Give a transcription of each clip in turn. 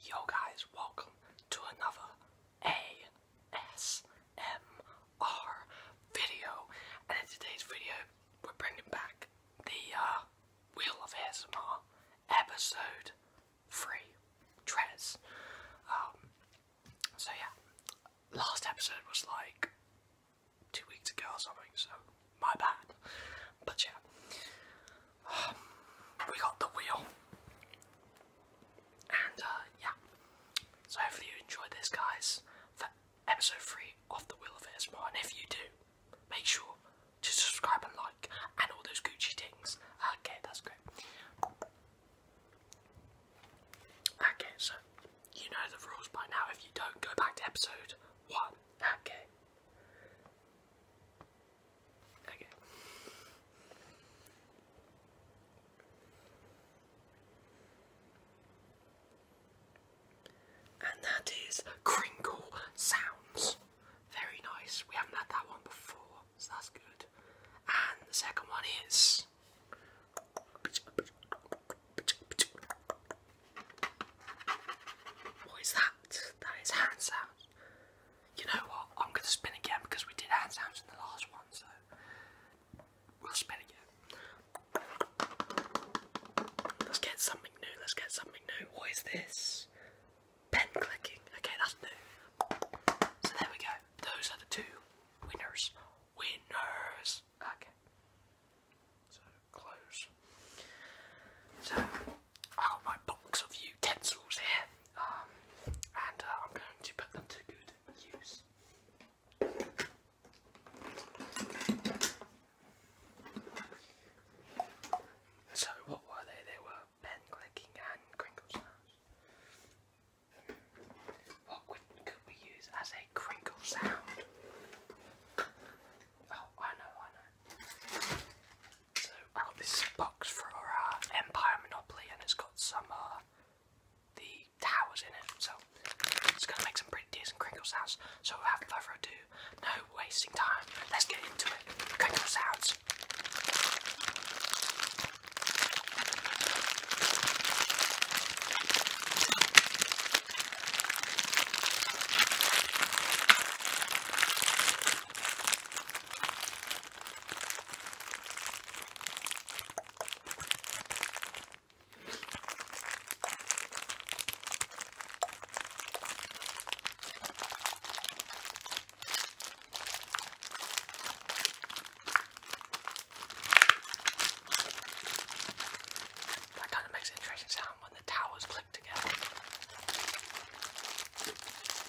Yo guys, welcome to another ASMR video. And in today's video, we're bringing back the uh, Wheel of ASMR episode 3, dress. Um, so yeah, last episode was like two weeks ago or something, so my bad. But yeah, we got the wheel. And uh, yeah. So hopefully you enjoyed this, guys, for episode 3 of The Wheel of ASMR. And if you do, make sure to subscribe and like and all those Gucci things. Okay, that's great. Okay, so you know the rules by now. If you don't, go back to episode 1. Okay. And that is crinkle sounds. Very nice. We haven't had that one before, so that's good. And the second one is. What is that? That is hand sounds. You know what? I'm gonna spin again because we did hand sounds in the last one, so we'll spin again. Let's get something new. Let's get something new. What is this? Pen clicking. Okay, that's new. So there we go. Those are the two winners. Winners. Okay. So close. So I got my box of utensils here, um, and uh, I'm going to put them to good use. So what were they? They were pen clicking and crinkle sounds. What could we use as a crinkle sound? Oh, I know, I know. So oh, this box for uh, Empire Monopoly, and it's got some uh, the towers in it. So it's gonna make some pretty decent crinkle sounds. So without further ado, no wasting time. Let's get into it. Crinkle sounds. That kind of makes an interesting sound when the towers click together.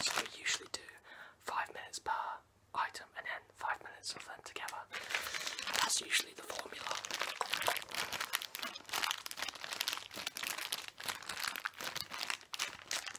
So we usually do five minutes per item and then five minutes of them together. That's usually the formula.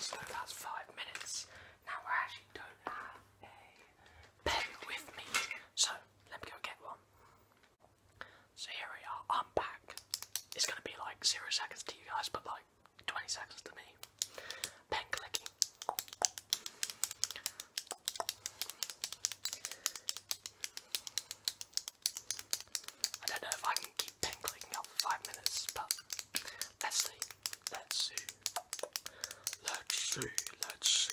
So that's five minutes. Now I actually don't have a pen with me, so let me go get one. So here we are, I'm back. It's gonna be like zero seconds to you guys, but like 20 seconds to me. Pen clicking. I don't know if I can keep pen clicking up for five minutes, let's see. Let's see. Let's see. Let's see.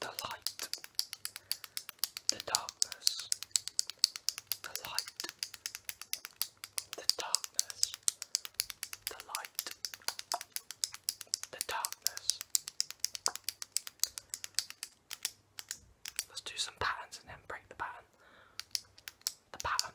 The light, the darkness, the light, the darkness, the light, the darkness. Let's do some patterns and then break the pattern. The pattern.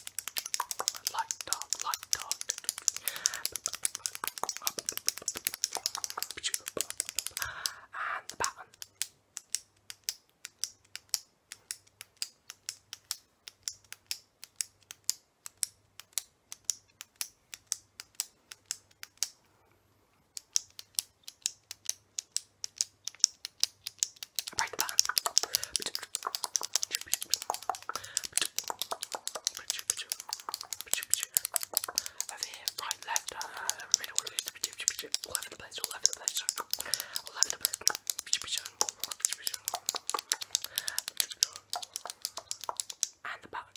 Light dog, light dog. And the pattern. Right back. Over here, right, left, uh, middle, all over the place, all over the place, all over the place. And the button.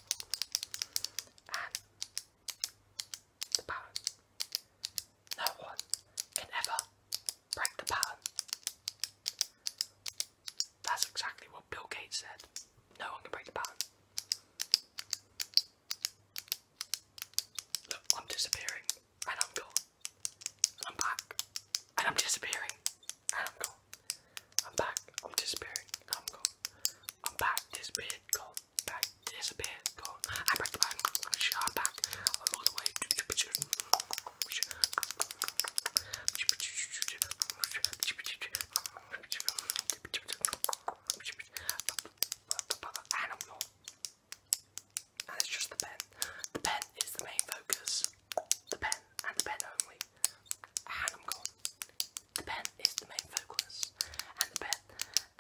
and the pattern. No one can ever break the pattern. That's exactly what Bill Gates said. No one can break the pattern. Look, I'm disappearing, and I'm gone, I'm back, and I'm disappearing, I'm gone. I'm back. I'm disappearing. I'm gone. I'm back. Disappeared. Gone. Back. Disappeared. Gone. I'm back. I'm back. I'm back. I'm all the way. Animal. And it's just the pen. The pen is the main focus. The pen and the pen only and i The pen is the main focus, and the pen,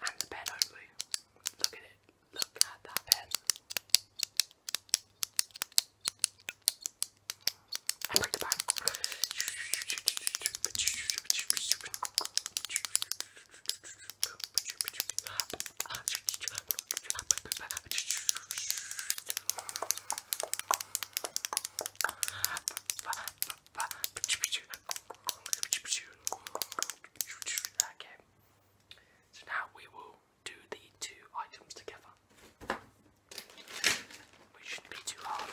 and the pen only. Look at it. Look at that pen. break the pen. Okay. So now we will do the two items together. Which shouldn't be too hard.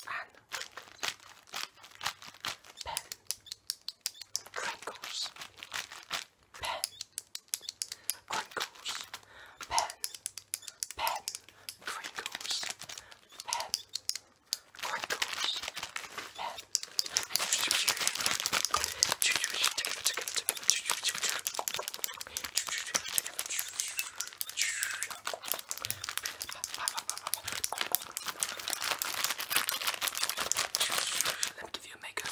and pen crinkles, pen crinkles, pen pen crinkles, pen crinkles, pen. Together, together, together, together, together. Let me give you a makeup.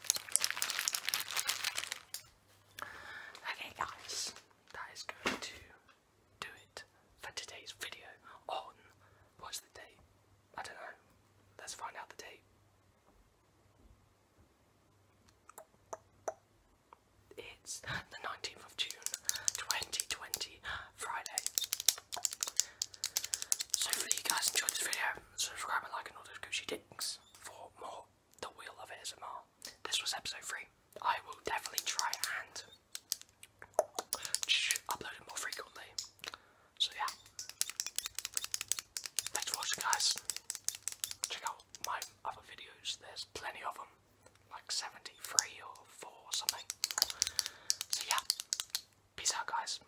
Okay guys, that is going to do it for today's video on what's the date? I don't know. Let's find out the date. It's the 19th of June 2020, Friday. So hopefully you guys enjoyed this video subscribe and like and all those goosey dings for more The Wheel of ASMR. This was episode 3. I will definitely try and upload it more frequently. So yeah. Thanks for watching guys. Check out my other videos, there's plenty of them. Like 73 or 4 or something. So yeah. Peace out guys.